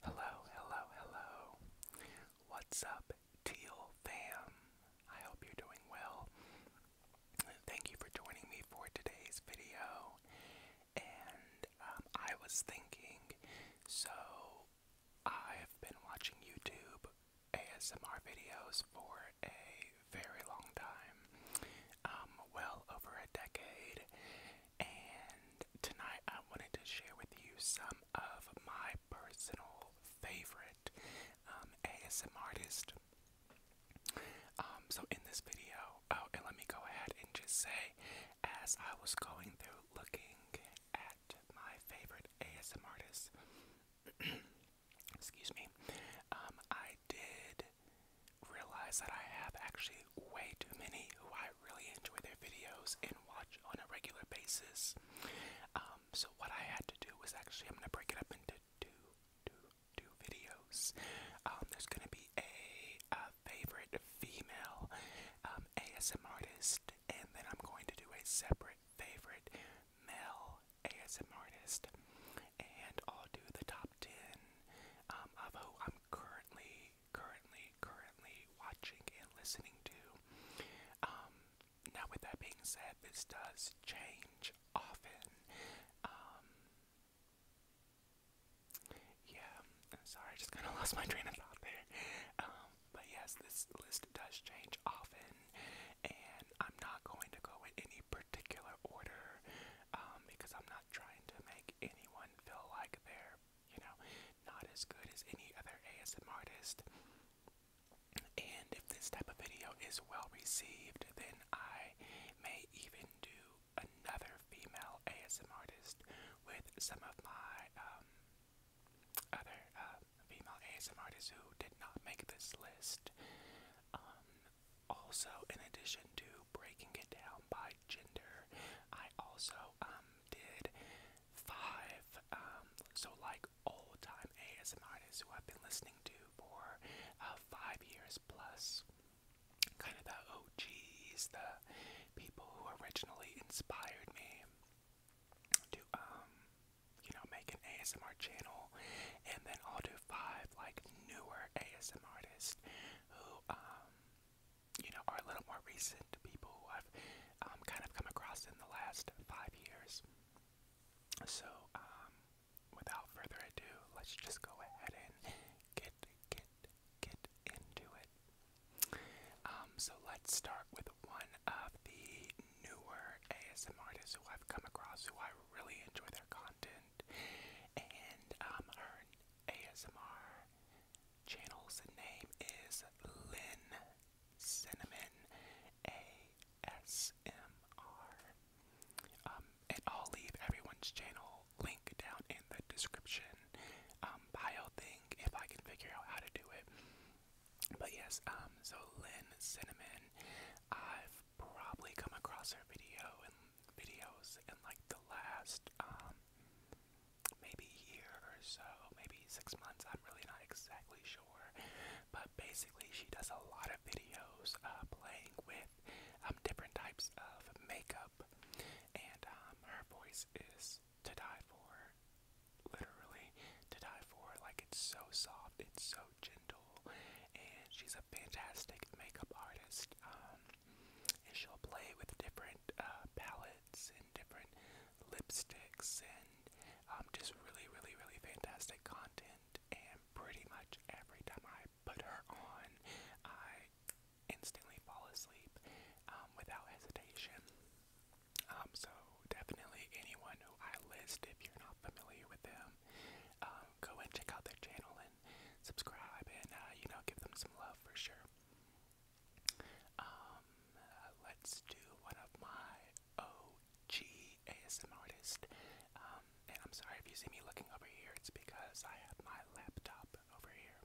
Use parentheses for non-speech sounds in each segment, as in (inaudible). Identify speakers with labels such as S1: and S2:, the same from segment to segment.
S1: Hello, hello, hello. What's up, Teal fam? I hope you're doing well. Thank you for joining me for today's video. And um, I was thinking, so I've been watching YouTube ASMR videos for a very long time, um, well over a decade, and tonight I wanted to share with you some of my personal favorite ASMR um, ASM artist. Um, so in this video, oh, and let me go ahead and just say, as I was going through looking at my favorite ASMR artists. (clears throat) excuse me, um, I did realize that I have actually way too many who I really enjoy their videos and watch on a regular basis. Um, so what I had to do was actually, I'm gonna break it up into two, two, two videos. Um, there's gonna be a, favorite female um, ASM artist, and then I'm going to do a separate favorite male ASM artist, and I'll do the top ten um, of who I'm currently, currently, currently watching and listening to. Um, now, with that being said, this does change often. Um, yeah, sorry, I just kind of lost my train of thought there. but yes, this list does change often and I'm not going to go in any particular order um, because I'm not trying to make anyone feel like they're, you know, not as good as any other ASM artist. And if this type of video is well received, then I may even do another female ASM artist with some of my um, other uh, female ASMR artists who did not make this list. Um, also, in addition to breaking it down by gender, I also um, did five, um, so like old time ASMR artists who I've been listening to for uh, five years plus. Kind of the OGs, the people who originally inspired me to um you know, make an ASMR channel, and then I'll do five like newer ASM artists who, um, you know, are a little more recent people who I've um, kind of come across in the last five years. So, um, without further ado, let's just go ahead and get get get into it. Um, so let's start with with one of the newer ASMR artists who I've come across who I really enjoy their content. And um, her ASMR channel's name is Lynn Cinnamon ASMR. Um, and I'll leave everyone's channel link down in the description um, bio thing if I can figure out how to do it. But yes, um, so Lynn Cinnamon, I've probably come across her video and videos in like the last um, maybe year or so, maybe six months, I'm really not exactly sure. But basically she does a lot of videos uh, playing with um, different types of makeup and her voice is to die for literally to die for. Like it's so soft, it's so gentle, and she's a fantastic makeup artist. Um, and she'll play with different uh, palettes and different lipsticks and um, just really, really, really fantastic content. And pretty much every time I put her on, I instantly fall asleep um, without hesitation. Um, so definitely anyone who I list, if you're not familiar with them, um, go and check out their channel and subscribe and, uh, you know, give them some love for sure. Um, uh, let's do one of my OG ASM um, and I'm sorry if you see me looking over here, it's because I have my laptop over here.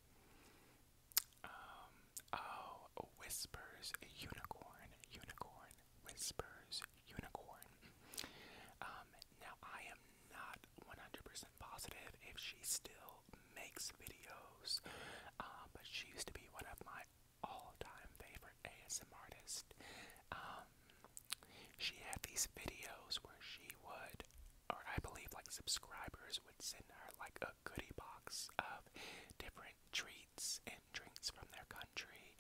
S1: oh, Whispers Unicorn, Unicorn. Whispers Unicorn. Um, now, I am not 100% positive if she still makes videos, um, but she used to be one of my all time favorite ASM artists. Um, she had these videos where she would, or I believe like subscribers would send her like a goodie box of different treats drinks from their country,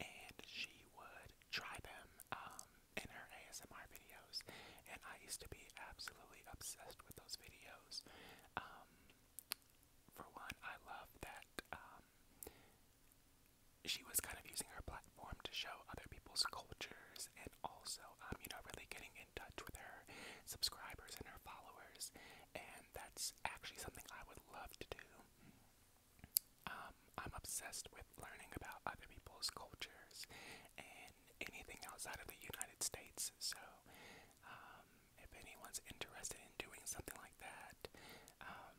S1: and she would try them um, in her ASMR videos. And I used to be absolutely obsessed with those videos. Um, for one, I love that um, she was kind of using her platform to show other people's cultures and also, um, you know, really getting in touch with her subscribers and her followers. And that's actually something I would love to do. Um, I'm obsessed with learning about other people's cultures and anything outside of the United States. So, um, if anyone's interested in doing something like that, um,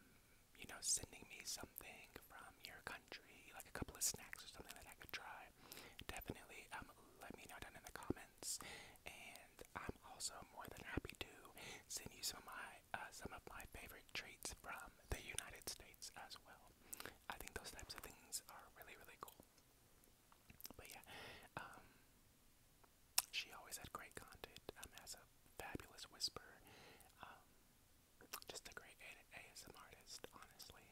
S1: you know, sending me something from your country, like a couple of snacks or something that I could try, definitely um, let me know down in the comments. And I'm also more than happy to send you some of my my uh, some of my favorite treats from the United States as well. I think those types of things are really really cool. But yeah, um, she always had great content. Um, has a fabulous whisper. Um, just a great a ASM artist, honestly.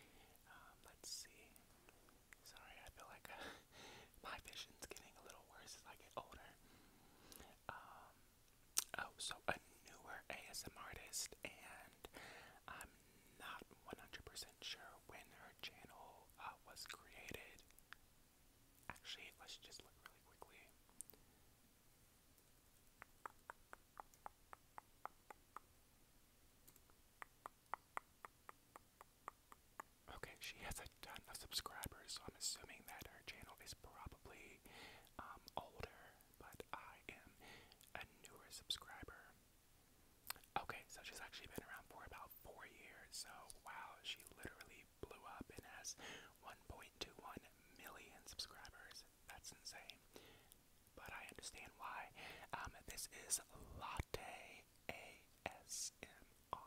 S1: Um, let's see. Sorry, I feel like. A (laughs) (laughs) my vision's getting a little worse as I get older. Um, oh, so a newer ASM artist, and I'm not 100% sure when her channel uh, was created. Actually, let's just look really quickly. Okay, she has a ton of subscribers, so I'm assuming that her channel is probably um, older, but I am a newer subscriber. Okay, so she's actually been around for about four years, so wow, she literally blew up and has 1.21 million subscribers. That's insane. But I understand why. Um, this is Latte A S M. R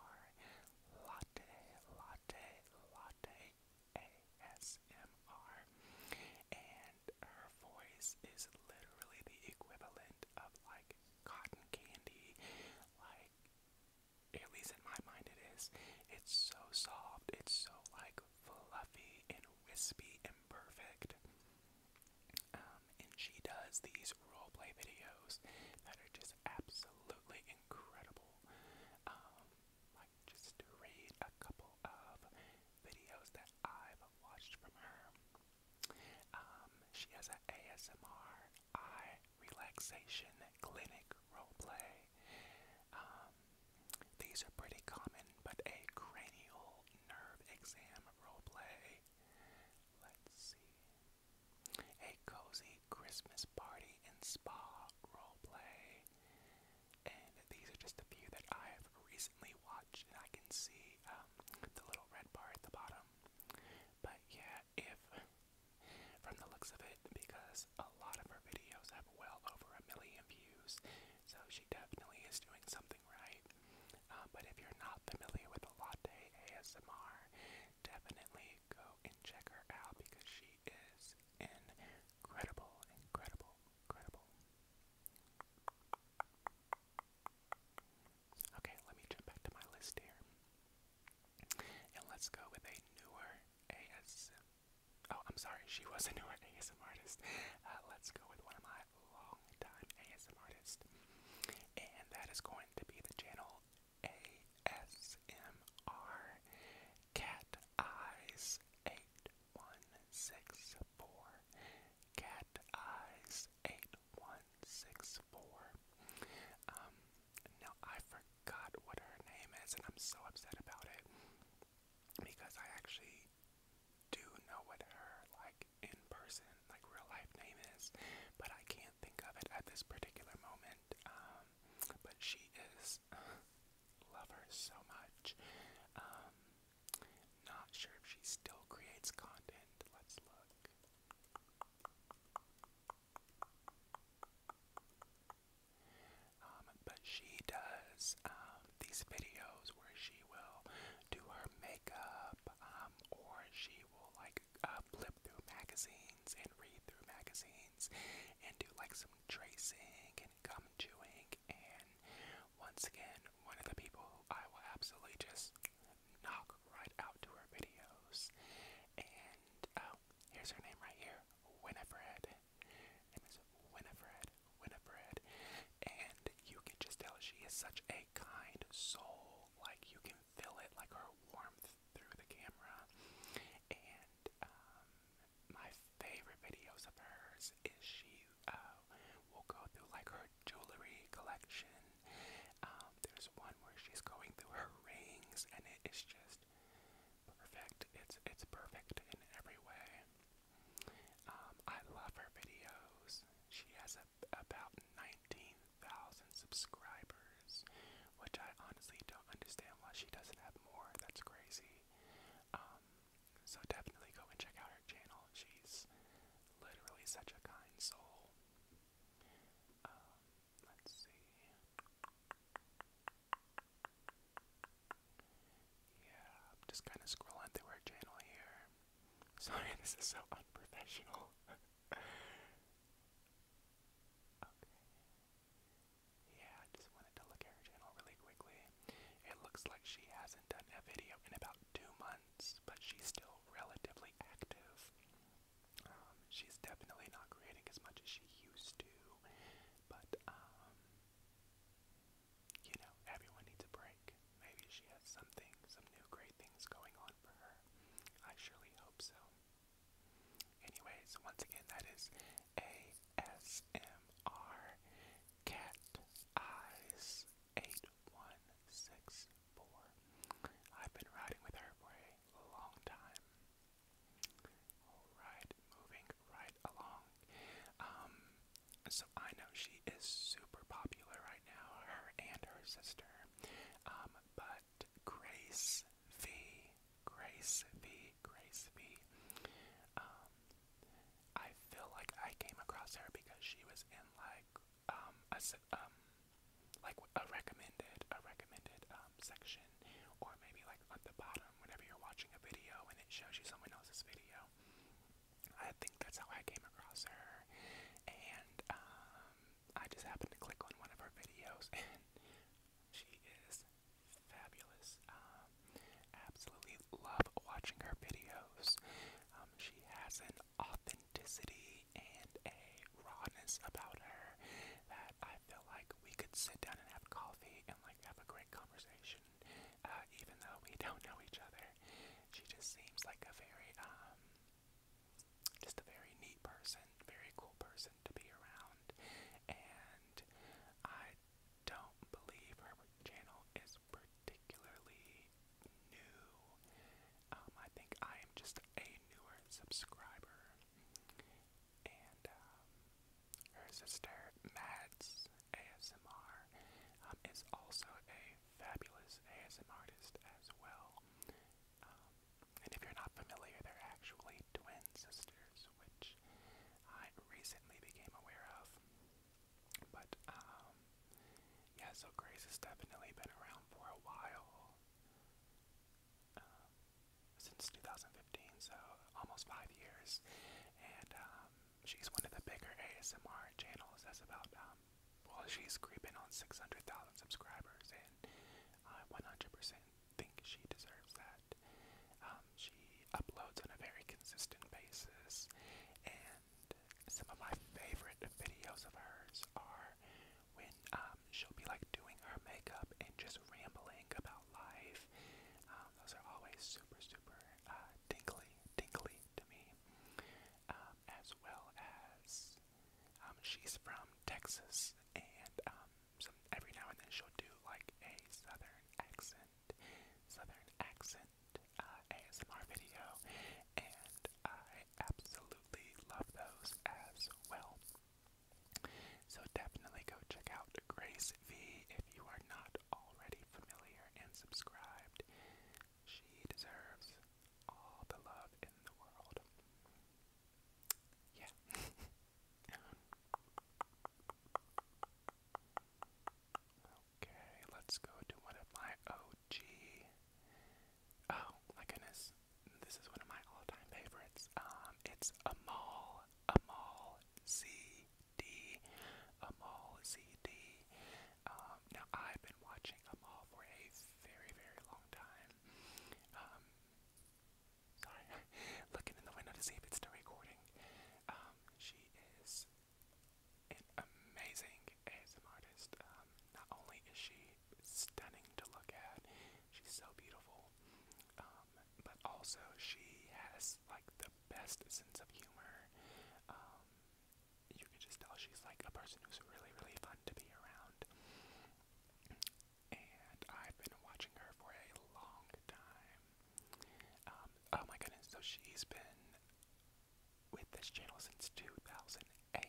S1: Latte Latte Latte ASMR and her voice is literally the equivalent of like cotton candy like at least in my mind it is. It's so soft, it's so like fluffy and wispy and perfect. Um, and she does these roleplay videos that are just absolutely incredible like um, just read a couple of videos that I've watched from her. Um, she has an ASMR eye relaxation clinic role play. Um, these are pretty common, but a cranial nerve exam roleplay. Let's see a cozy Christmas party and spa roleplay. And these are just a few that I have recently watched, and I can see um, the little red bar at the bottom. But yeah, if from the looks of it, because a lot of her videos have well over a million views, so she definitely is doing something right. Uh, but if you're not familiar with latte ASMR, definitely go and check her out because she is incredible, incredible, incredible. Okay, let me jump back to my list here. And let's go with a newer AS. Oh, I'm sorry, she was a newer ASM artist. Uh, let's go with one of my long time ASM artists. And that is going to be the channel ASMR Cat Eyes 8164 Cat Eyes 8164 Um, now I forgot what her name is and I'm so upset about it because I actually do know what her like in person, like real life name is, but I can't think of it at this particular moment. Um, but she is uh, love her so much. Um, not sure if she still creates content. Let's look. Um, but she does um, these videos where she will do her makeup, um, or she will like uh, flip through magazines and read through magazines and do like some tracing and gum chewing. And once again, one of the people who I will absolutely just knock right out to her videos. And oh, here's her name right here, Winifred. name is Winifred, Winifred. And you can just tell she is such a kind soul. Like you can feel it like her warmth through the camera. And um, my favorite videos of hers is she uh, will go through like her jewelry collection. Um, there's one where she's going through her rings, and it is just perfect. It's it's perfect in every way. Um, I love her videos. She has about 19,000 subscribers, which I honestly don't understand why she doesn't have more. That's crazy. Um, so definitely go check out her channel. She's literally such a kind soul. Um, let's see. Yeah, just kind of scrolling through her channel here. (laughs) Sorry, this is so unprofessional. (laughs) okay. Yeah, just wanted to look at her channel really quickly. It looks like she hasn't done a video in about two months, but she's still relatively active. Um, she's definitely not creating as much as she used to, but um, you know, everyone needs a break. Maybe she has something, some new great things going on for her. I surely hope so. Anyways, once again, that is ASMR Cat Eyes 8164. I've been riding with her for a long time. Alright, moving right along. Um, so I know she is super popular right now, her and her sister. Um, but Grace V. Grace V. Grace V. Um, feel like I came across her because she was in like um, a um like a recommended a recommended um section or maybe like at the bottom whenever you're watching a video and it shows you someone else's video. I think that's how I came across her, and um, I just happened to click on one of her videos, (laughs) and she is fabulous. Um, absolutely love watching her videos. Um, she has an authenticity and a rawness about her that I feel like we could sit down and have coffee and like have a great conversation, uh, even though we (laughs) don't know each other. She just seems like a very um, just a very neat person, very cool person to be around, and I don't believe her channel is particularly new. Um, I think I am just a newer subscriber, and um, her sister Mads ASMR um, is also a fabulous ASM artist as well. Um, and if you're not familiar, they're actually twin sisters, which I recently became aware of. But, um, yeah, so Grace has definitely been around for a while. Um, since 2015, so almost five years. And, she's one of the bigger ASMR channels As about, well, she's creeping on 600,000 subscribers, and 100% uh, think she deserves that. Um, she uploads on a very consistent basis, and some of my favorite videos of hers are when um, she'll be like doing her makeup and just rambling about life. Um, those are always super, super uh, tingly, tingly to me. Um, as well as um, she's from Texas, and um, so every now and then she'll do like a southern accent, southern accent uh, ASMR video, and I absolutely love those as well. So definitely go check out Grace V if you are not already familiar and subscribed. She deserves all the love in the world. Yeah. okay, let's go to one of my OG. Oh my goodness, this is one of my all-time favorites. Um, it's Amal, Amal CD, Amal CD. Um, now I've been watching Amal for a very, very long time. Um, Sorry, (laughs) looking in the window to see if it's still recording. Um, she is an amazing ASM artist. Um, not only is she stunning to look at, she's so beautiful, um, but also she has like the best sense of humor. Um, you can just tell she's like a person who's really, really fun to be around and I've been watching her for a long time. Um, oh my goodness, so she's been with this channel since 2008. I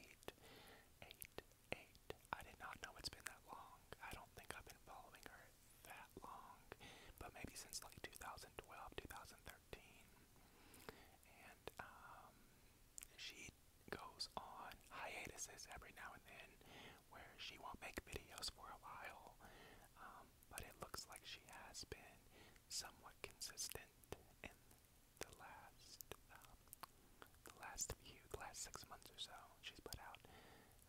S1: did not know it's been that long. I don't think I've been following her that long, but maybe since like 2012, And um, she goes on hiatuses every now and then where she won't make videos for a while, um, but it looks like she has been somewhat consistent in the last um, the last few, last six months or so. She's put out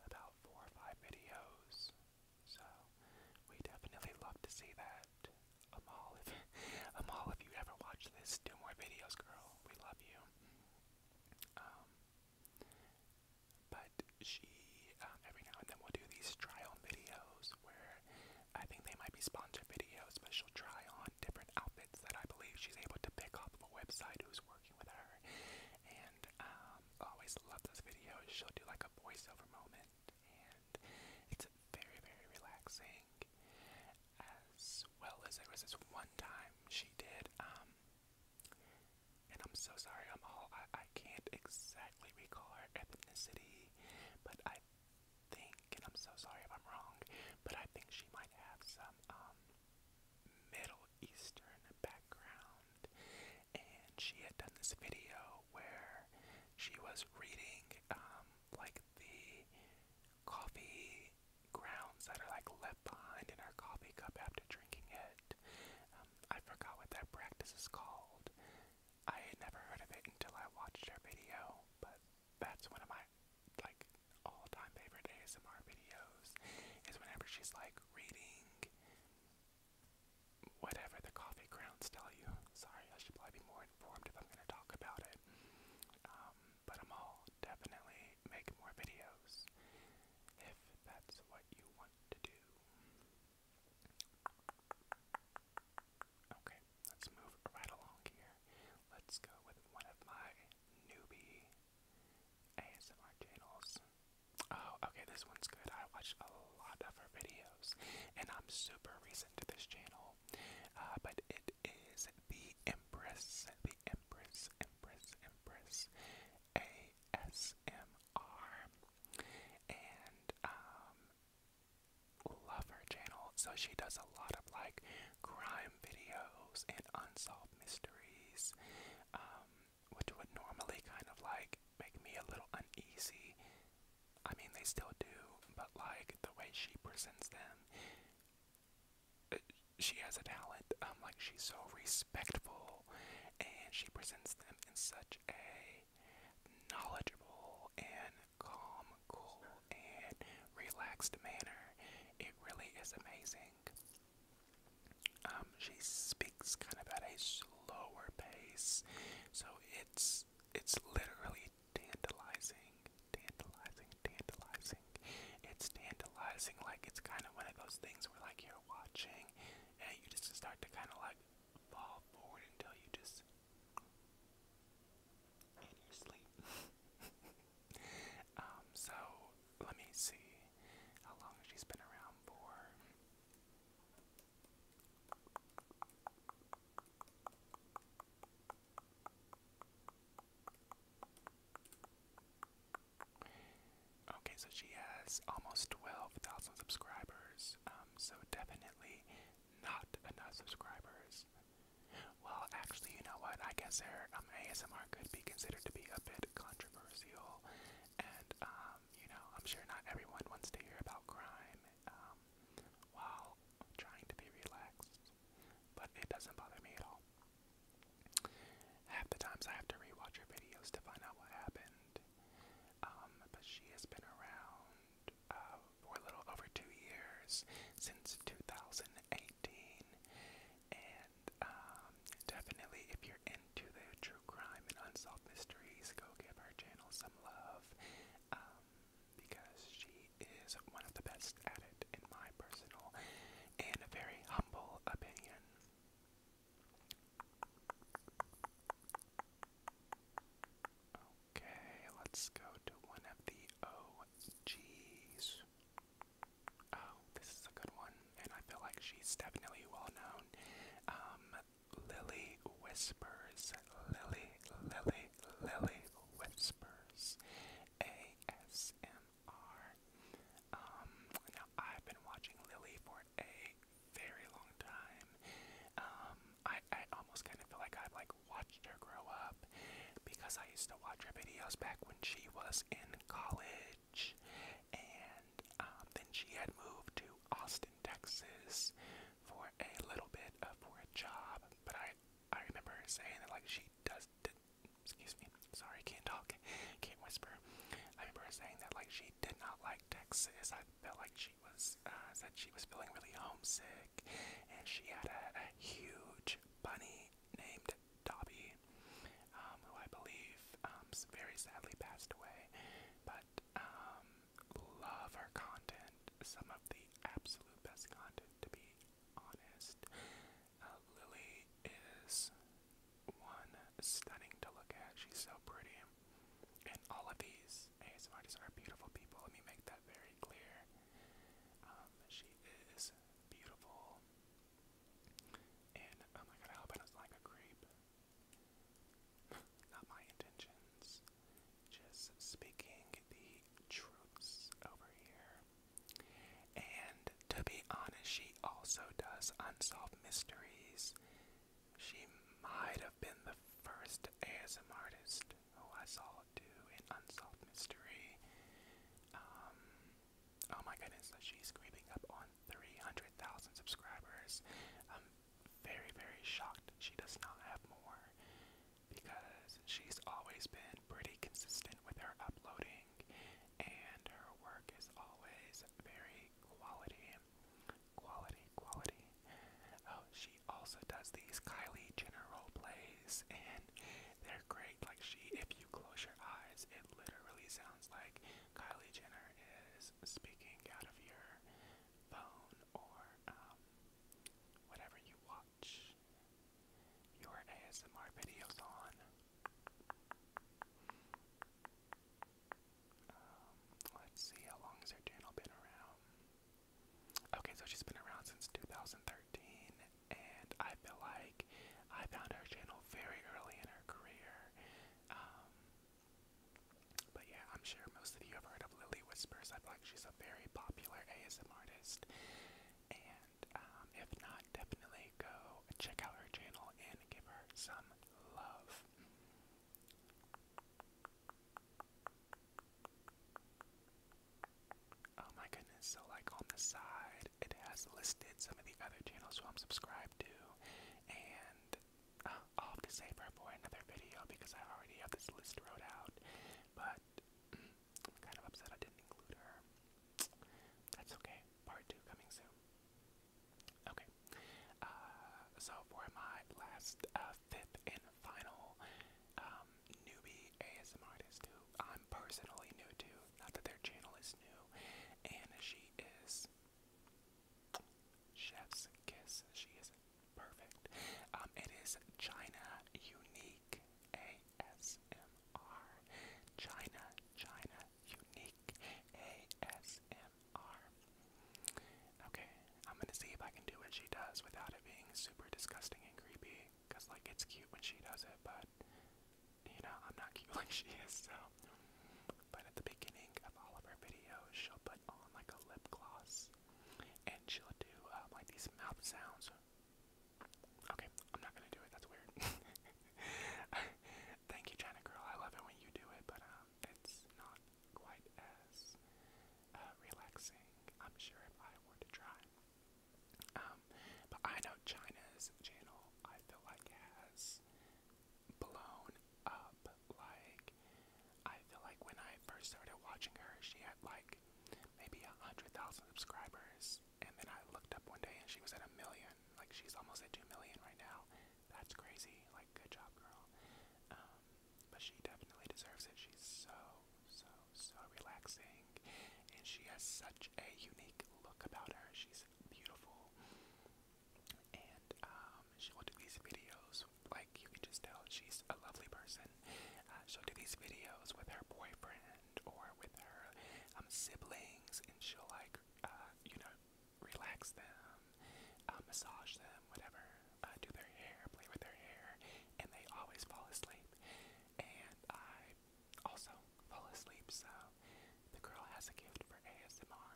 S1: about four or five videos, so we definitely love to see that. Amal, if (laughs) Amal, if you ever watch this, do more videos, girl. We love you. Um, but she, um, every now and then, will do these try-on videos where I think they might be sponsored videos, but she'll try on different outfits that I believe she's able to pick off of a website who's working with her. And um, always love those videos. She'll do like a voiceover moment, and it's very, very relaxing. As well as there was this one time she did. Um, and I'm so sorry, I'm all I, I can't exactly recall her ethnicity, but I think, and I'm so sorry if I'm wrong, but I think she might have some um Middle Eastern background. And she had done this video where she was reading um like the coffee grounds that are like left behind in our coffee cup after drinking it. Um, I forgot what that practice is called. I had never heard of it until I watched her video, but that's one of my like all-time favorite ASMR videos is whenever she's like reading whatever the coffee grounds tell you. Sorry, I should probably be more informed if I'm gonna talk about it. Um, but I'm all definitely make more videos if that's what you want to do. Okay, let's move right along here. Let's go with one of my newbie ASMR channels. Oh, okay, this one's good. I watched a lot of her videos, and I'm super recent to this channel. Uh, but it is the Empress, Empress, Empress, Empress ASMR. And um love her channel. So she does a lot of like crime videos and unsolved mysteries. Um, which would normally kind of like make me a little uneasy. I mean, they still do, but like the way she presents them she has a talent. Um, like she's so respectful, and she presents them in such a knowledgeable and calm, cool, and relaxed manner. It really is amazing. Um, she speaks kind of at a slower pace, so it's it's literally tantalizing, tantalizing, tantalizing. It's tantalizing, like it's kind of one of those things where like you're watching and you just start to kind of like fall forward until you just in your sleep. (laughs) um, so let me see how long she's been around for. Okay, so she has almost 12,000 subscribers, um, so definitely not enough subscribers. Well, actually, you know what? I guess her um, ASMR could be considered to be a bit controversial, and um, you know, I'm sure not everyone wants to hear about crime um, while trying to be relaxed, but it doesn't bother me at all. Half the times I have to rewatch her videos to find out what happened. Um, but she has been around uh, for a little over two years since 2018. And um, definitely, if you're into the true crime and unsolved mysteries, go give her channel some love um, because she is one of the best at it, in my personal and very humble opinion. Okay, let's go to one of the OGs. Oh, this is a good one, and I feel like she's definitely well known. Um, Lily Whispers. Lily, Lily, Lily Whispers. ASMR. Um, now, I've been watching Lily for a very long time. Um, I, I almost kind of feel like I've like watched her grow up because I used to watch her videos back when she was in college, and um, then she had moved to Austin, Texas, for a little bit of for a job. But I I remember her saying that like she does excuse me, sorry, can't talk, can't whisper. I remember saying that like she did not like Texas. I felt like she was uh, said she was feeling really homesick, and she had a, huge bunny named Dobby, um, who I believe um, very sadly passed away. But um, love her content, some of the absolute best content to be honest. Uh, Lily is one stunning to look at. She's so pretty. And all of these ASM are beautiful people. Let me make that very clear. Um, she is beautiful. And oh my god, I hope I don't like a creep. (laughs) Not my intentions. Just speaking the truths over here. And to be honest, she also does unsolved mysteries. She might have been the first ASM artist who I saw do an unsolved mystery. Um, oh my goodness, she's creeping up on 300,000 subscribers. I'm very, very shocked she does not have more because she's always been pretty consistent with her uploading amazing, and her work is always very quality. Quality, quality. Oh, she also does these Kylie Jenner role plays, and they're great. Like she, if you close your eyes, it literally sounds like Kylie Jenner is speaking out of your phone or um, whatever you watch your ASMR videos on. Um, let's see, how long has her channel been around? Okay, so she's been around since 2013, and I feel like I found her channel very early in her career. Um, but yeah, I'm sure most of you have heard of Lily Whispers. I feel like she's a very popular ASM artist, and um, if not, definitely go check out her channel and give her some love. Oh my goodness, so like on the side, it has listed some of the other channels who I'm subscribed to, and uh, I'll have to save her for another video because I already have this list wrote out, but mm, I'm kind of upset I didn't include her. That's okay, part two coming soon. Okay. Uh, so for my last uh, fifth and final um, newbie ASM artist who I'm personally new to, not that their channel is new, and she is Chef's Kiss. She is perfect. Um, it is China Unique ASMR. China, China, unique ASMR. Okay, I'm gonna see if I can do what she does without it being super disgusting and creepy. Cause like it's cute when she does it, but you know I'm not (laughs) cute like she is. So, but at the beginning of all of her videos, she'll put on like a lip gloss, and she'll do um, like these mouth sounds. Okay, I'm not gonna do it. That's weird. (laughs) (laughs) Thank you, China Girl. I love it when you do it, but um, it's not quite as uh, relaxing. I'm sure if I were to try. Um, but I know China's channel. I feel like has blown up. Like I feel like when I first started watching her, she had like maybe a hundred thousand subscribers, and then I looked up one day and she was at a million. Like she's almost at two million right now. That's crazy. Like good job, girl. Um, but she definitely deserves it. She's so, so, so relaxing, and she has such a unique look about her. She's beautiful, and um, she will do these videos. Like you can just tell, she's a lovely person. Uh, she'll do these videos with her boyfriend or with her um, siblings, and she'll like uh, you know, relax them, uh, massage them, whatever, uh, do their hair, play with their hair, and they always fall asleep. And I also fall asleep, so the girl has a gift for ASMR.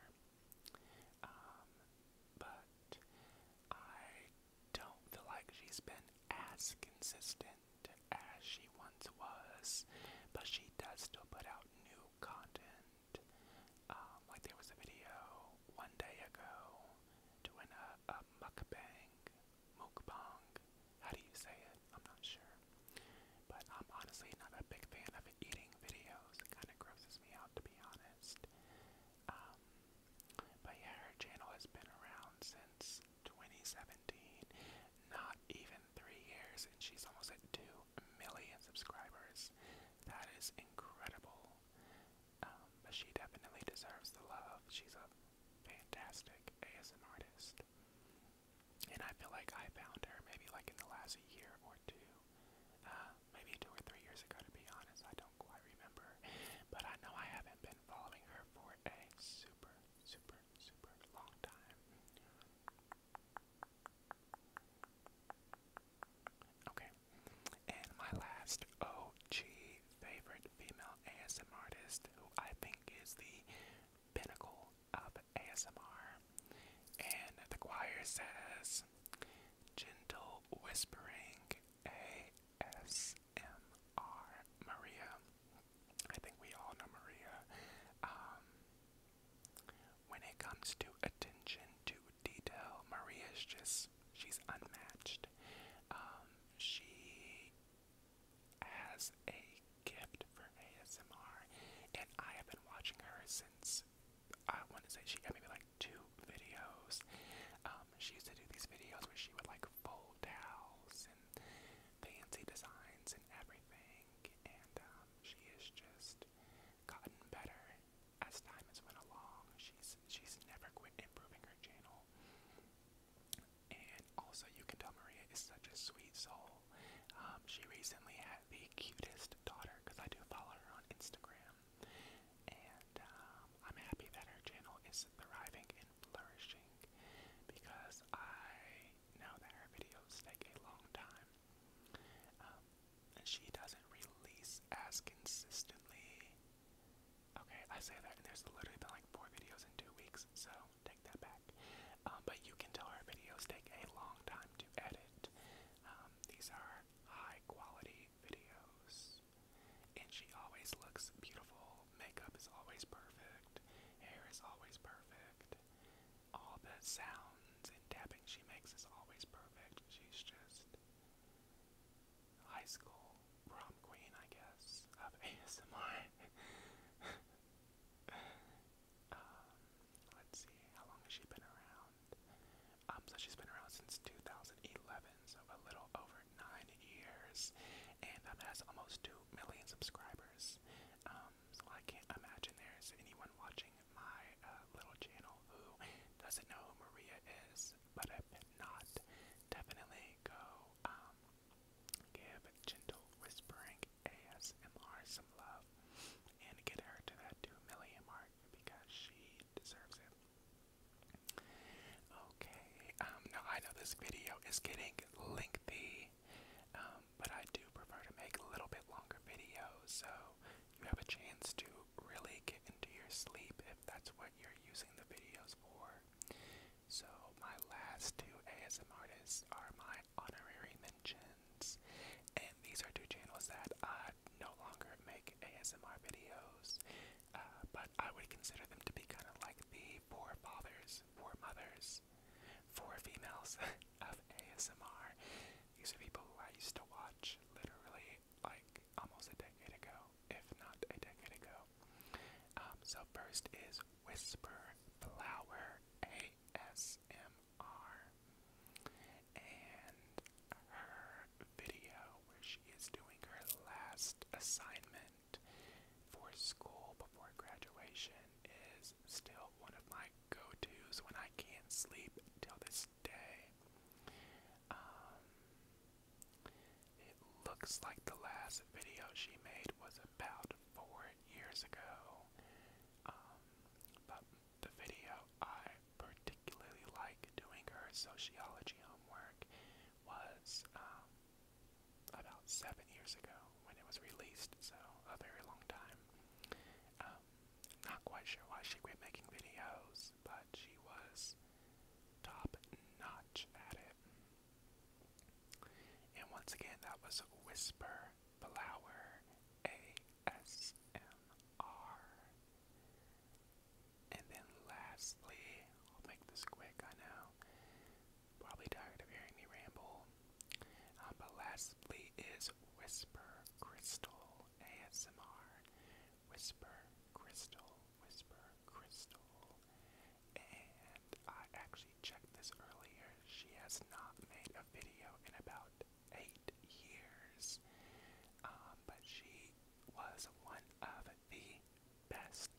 S1: Um, but I don't feel like she's been as consistent as she once was, but she does still put out new content. Um, like there was a video one day ago doing a, mukbang, mukbang. How do you say it? I'm not sure. But I'm honestly not a big fan of eating videos. It kind of grosses me out, to be honest. Um, but yeah, her channel has been around since 2017, not even three years, and she's almost at two million subscribers. That is incredible. Um, but she definitely deserves the love. She's a fantastic ASM artist. And I feel like I found her maybe like in the last year or two. Uh, maybe two or three years ago, to be honest. I don't quite remember. But I know I haven't been following her for a super, super, super long time. Okay. And my last OG favorite female ASM artist, who I think is the pinnacle of ASMR. And the choir says, Gentle Whispering ASMR Maria. I think we all know Maria. Um, when it comes to attention to detail, Maria's just, she's unmatched. Um, she has a gift for ASMR, and I have been watching her since I want to say she got maybe like two videos. Um, she used to do these videos where she would like fold towels and fancy designs and everything, and um, she has just gotten better as time has went along. She's she's never quit improving her channel, and also you can tell Maria is such a sweet soul. Um, she recently had the cutest daughter because I do follow her on Instagram, and um, I'm happy that her channel is thriving and flourishing because I know that her videos take a long time um, and she doesn't release as consistently. Okay, I say that, and there's literally been like four videos in two weeks, so take that back. Um, but you can tell her videos take a long time to edit. Um, these are high quality videos, and she always looks beautiful. Makeup is always perfect, hair is always perfect all the sounds and tapping she makes is always perfect. She's just high school prom queen, I guess, of ASMR. (laughs) (laughs) um, let's see, how long has she been around? Um, so she's been around since 2011, so a little over nine years, and um, has almost two million subscribers. Um, so I can't imagine there's anyone watching my uh, little channel who doesn't know who Maria is. But if not, definitely go um, give Gentle Whispering ASMR some love and get her to that 2 million mark because she deserves it. Okay, um, now I know this video is getting lengthy, um, but I do prefer to make a little bit longer videos so you have a chance to really get into your sleep if that's what you're using the videos for. So, my last two ASM artists are my honorary mentions, and these are two channels that I no longer make ASMR videos, uh, but I would consider them to be kind of like the fathers, forefathers, mothers, four females (laughs) of ASMR. These are people who I used to watch literally like almost a decade ago, if not a decade ago. Um, so first is Whisper Flower ASMR, and her video where she is doing her last assignment for school before graduation is still one of my go-tos when I can't sleep till this day. Um, it looks like the last video she made was about four years ago. Um, but the video I particularly like doing her sociology homework was um, about seven years ago when it was released, so a very long time. Um, not quite sure why she quit making videos, but she was top notch at it. And once again, that was Whisper Blower ASMR. And then lastly, I'll make this quick, I know. Probably tired of hearing me ramble. Um, but lastly is Whisper Crystal ASMR. Whisper Crystal, Whisper Crystal. And I actually checked this earlier. She has not made a video in about eight years. Um, but she was one of the best.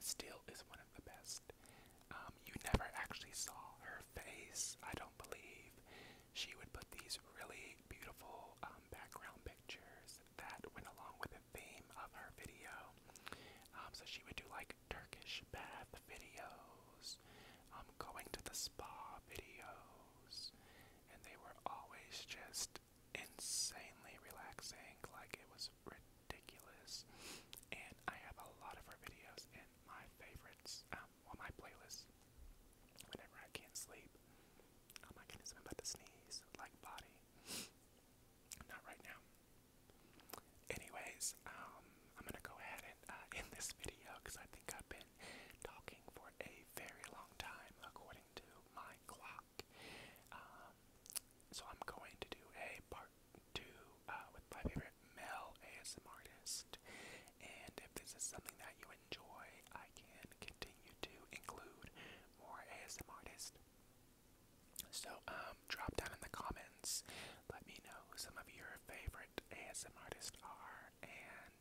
S1: Still is one one of the best. Um, you never actually saw her face, I don't believe. She would put these really beautiful um, background pictures that went along with the theme of her video. Um, so she would do like Turkish bath videos, um, going to the spa videos, and they were always just insanely relaxing. Like it was ridiculous. And I have a lot of her videos in my favorites, um, on my playlist whenever I can't sleep. Oh my goodness, I'm about to sneeze, like body. (laughs) Not right now. Anyways, um, I'm gonna go ahead and uh, end this video because I think I've been talking for a very long time according to my clock. Um, so I'm going to do a part to uh, with my favorite male ASM artist. And if this is something that you enjoy, I can continue to include more ASM artists. So um, drop down in the comments. Let me know some of your favorite ASM artists are. And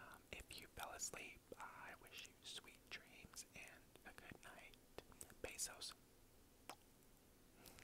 S1: um, if you fell asleep, I wish you sweet dreams and a good night. Bezos.